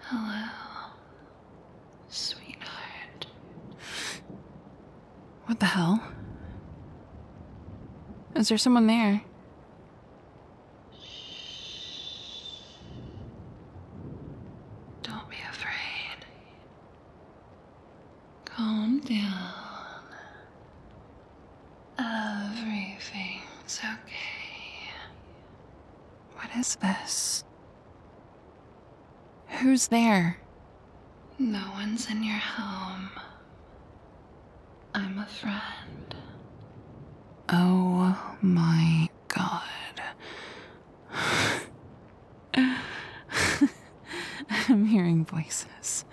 Hello, sweetheart. What the hell? Is there someone there? Don't be afraid. Calm down. Everything's okay. What is this? Who's there? No one's in your home. I'm a friend. Oh my god. I'm hearing voices.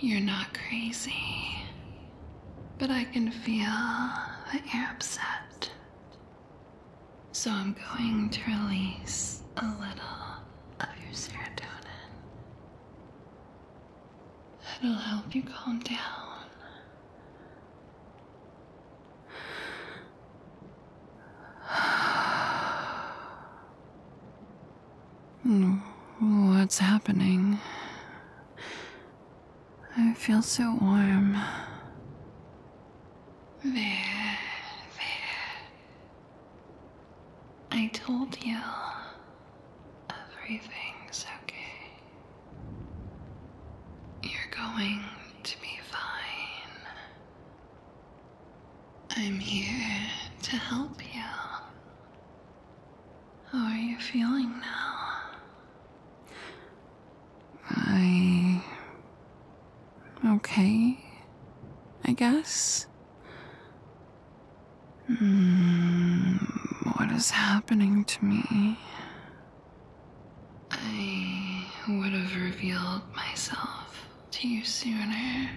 You're not crazy, but I can feel that you're upset. So I'm going to release a little of your serotonin. it will help you calm down. What's happening? I feel so warm. There, there. I told you. Everything's okay. You're going to be fine. I'm here to help you. How are you feeling now? I. okay, I guess. Mm, what is happening to me? I would have revealed myself to you sooner, eh?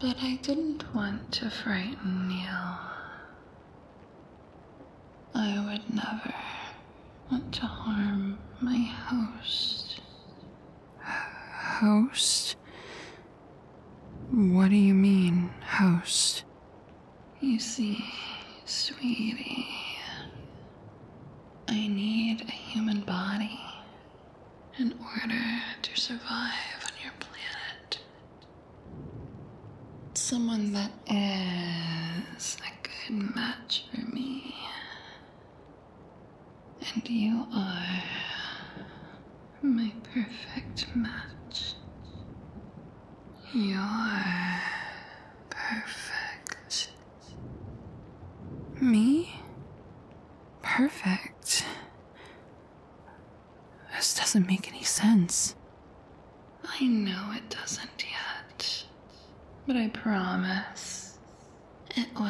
but I didn't want to frighten you. I would never want to harm my host. Host? What do you mean, host? You see, sweetie, I need a human body in order to survive on your planet. Someone that is a good match for me. And you are my perfect match. You're perfect me? Perfect. This doesn't make any sense. I know it doesn't yet, but I promise it will.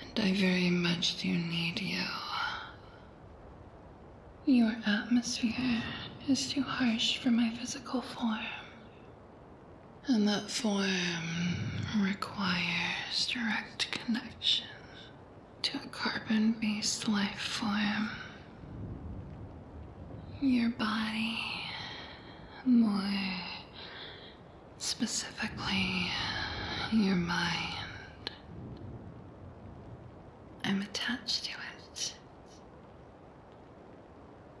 And I very much do need you. Your atmosphere is too harsh for my physical form and that form requires direct connection to a carbon based life form. Your body, more specifically, your mind. I'm attached to it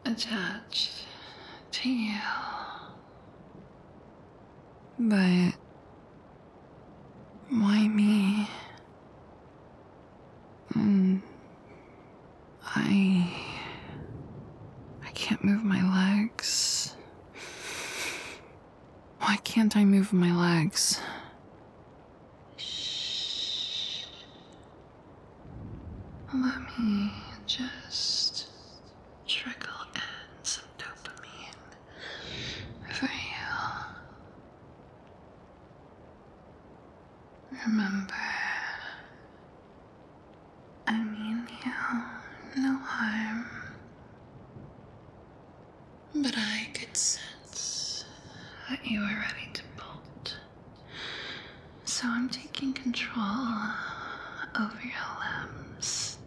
attached to you. But why me? Mm, I I can't move my legs. Why can't I move my legs? Shh. Let me just trickle in some dopamine for you. Uh, remember, I mean you no harm. But I could sense that you were ready to bolt so I'm taking control over your limbs.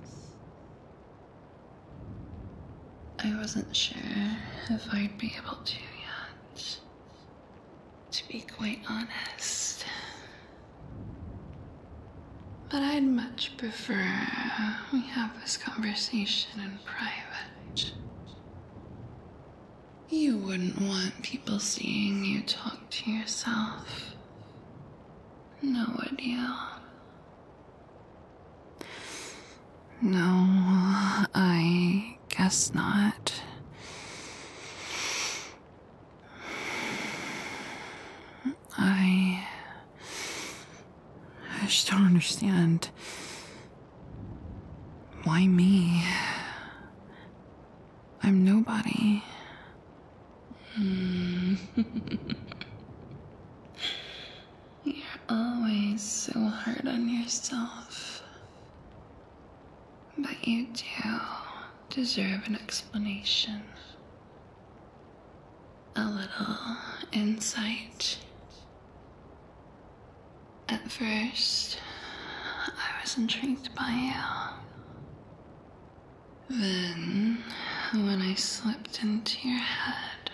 I wasn't sure if I'd be able to yet. To be quite honest. But I'd much prefer we have this conversation in private. You wouldn't want people seeing you talk to yourself. No, idea. No, I guess not. I. I just don't understand. Why me? I'm nobody. Hmm. You're always so hard on yourself. But you do deserve an explanation. A little insight. At first, I was intrigued by you. Then, when I slipped into your head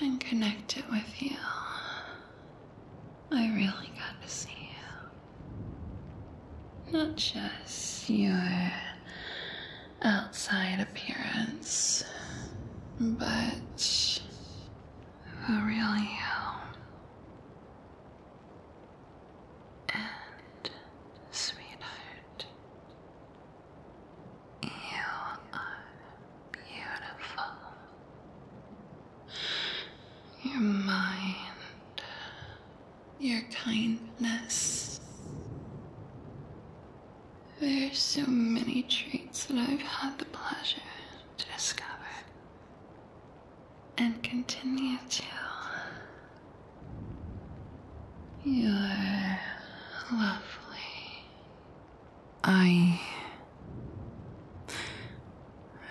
and connected with you, I really got to see you. Not just your outside appearance, but the really you. And, sweetheart, you are beautiful. Your mind, your kindness. There are so many traits that I've had the pleasure to discover and continue to you're lovely. I.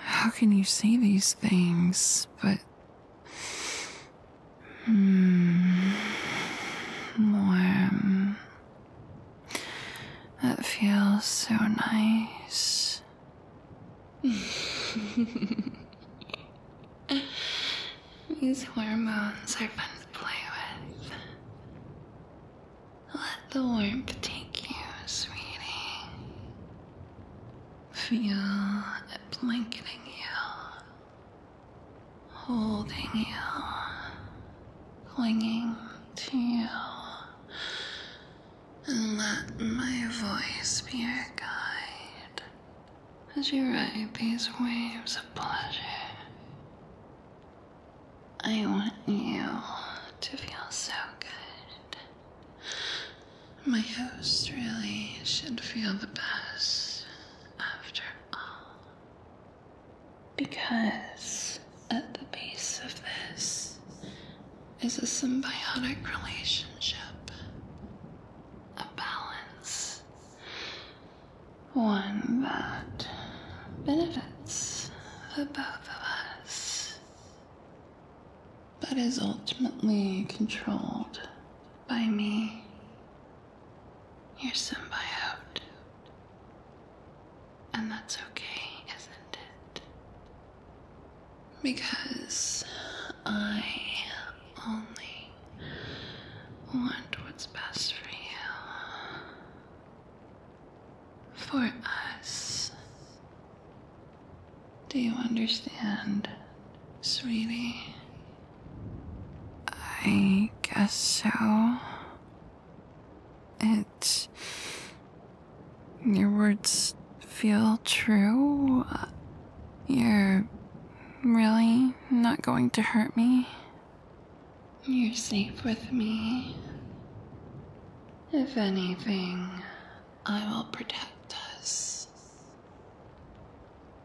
How can you say these things, but. Warm. Hmm, that feels so nice. These hormones are fun to play with. Let the warmth take you, sweetie. Feel it blanketing you, holding you, clinging to you and let my voice be your guide as you ride these waves of pleasure. I want you to feel so good. My host really should feel the best after all. Because at the base of this is a symbiotic relationship, a balance, one that benefits the both of us, but is ultimately controlled by me, your symbiote. And that's okay, isn't it? Because I only want what's best for you. For us. Do you understand, sweetie? I guess so. It your words feel true. You're really not going to hurt me. You're safe with me. If anything, I will protect us.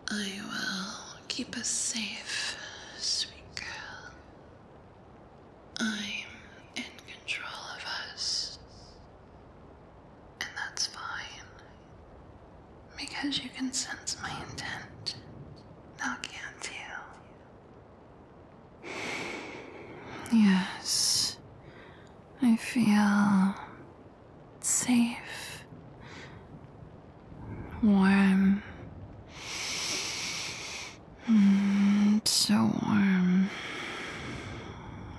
I will keep us safe, sweet girl. I'm in control of us. And that's fine. Because you can sense my intent. Now can't you? Yes. I feel safe. Warm. Mm, so warm.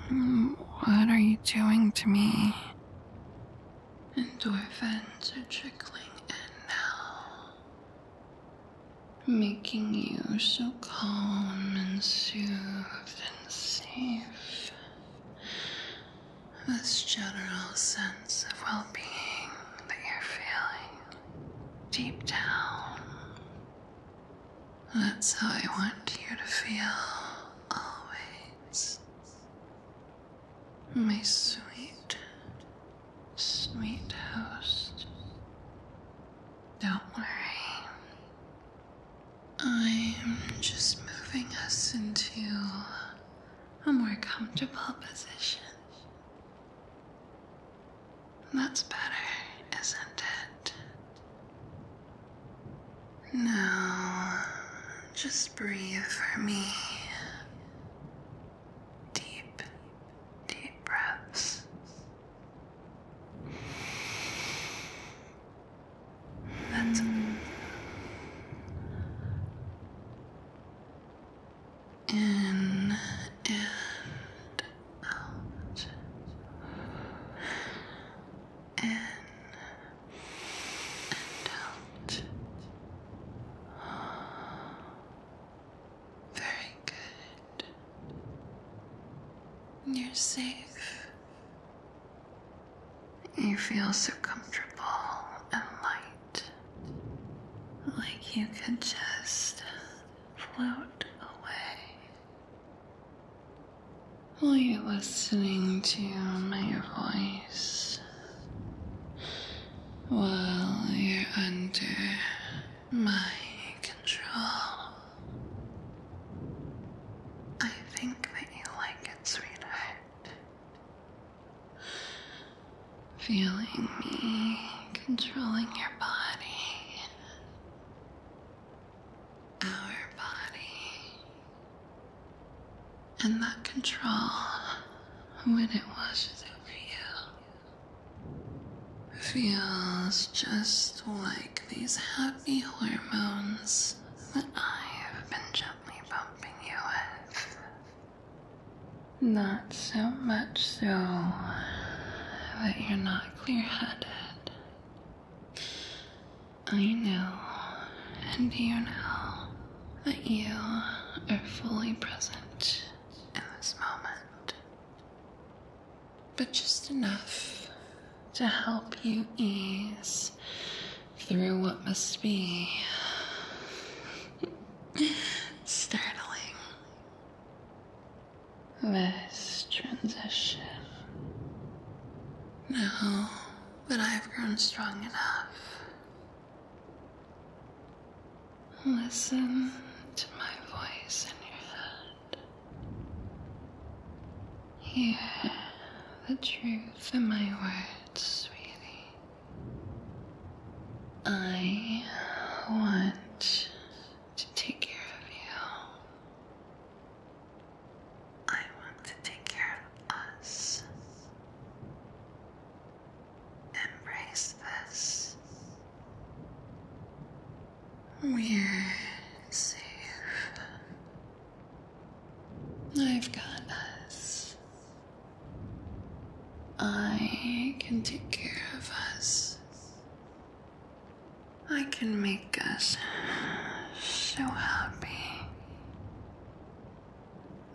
Um, what are you doing to me? Endorphins are trickling in now, making you so calm and soothed This general sense of well being that you're feeling deep down. That's how I want you to feel always. My sweet, sweet host. Don't worry. I'm just moving us into a more comfortable position. That's better, isn't it? Now, just breathe for me. Deep, deep breaths. That's in and out, in and out. Very good. You're safe. You feel so comfortable and light like you could just float away. While you're listening to my voice, while you're under my control, I think that you like it, sweetheart. Feeling me controlling your body, our body, and that control when it washes over you feels just like these happy hormones that I have been gently pumping you with. Not so much so that you're not clear headed. I know, and you know, that you are fully present in this moment, but just enough to help you ease through what must be startling. This transition. No, but I've grown strong enough. Listen to my voice in your head. Hear the truth in my words, sweetie. I want to take care of you. I want to take care of us. Embrace this. We're safe. I've got us. I can take care of us. I can make us so happy.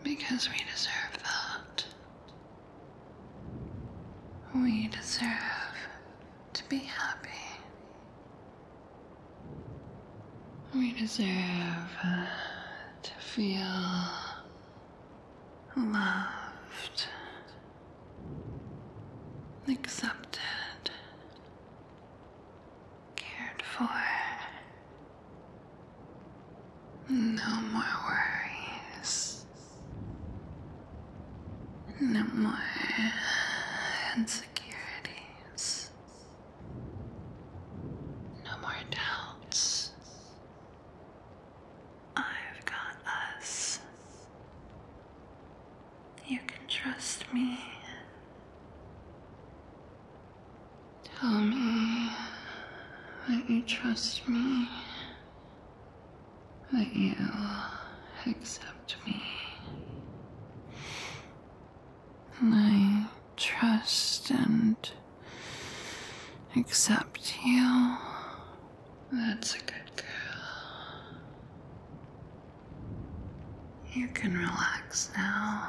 Because we deserve that. We deserve to be happy. We deserve to feel loved, accepted, cared for. No more worries. No more insecurities. No more doubts. I've got us. You can trust me. Tell me that you trust me, that you accept me. I trust and accept you. That's a good girl. You can relax now.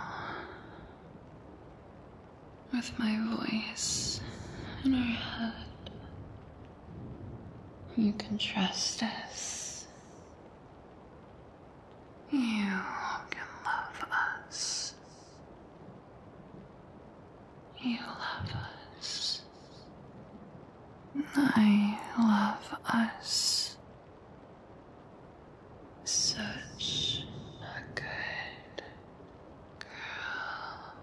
With my voice in our head, you can trust us. You can love us. You love us. I love us. Such a good girl.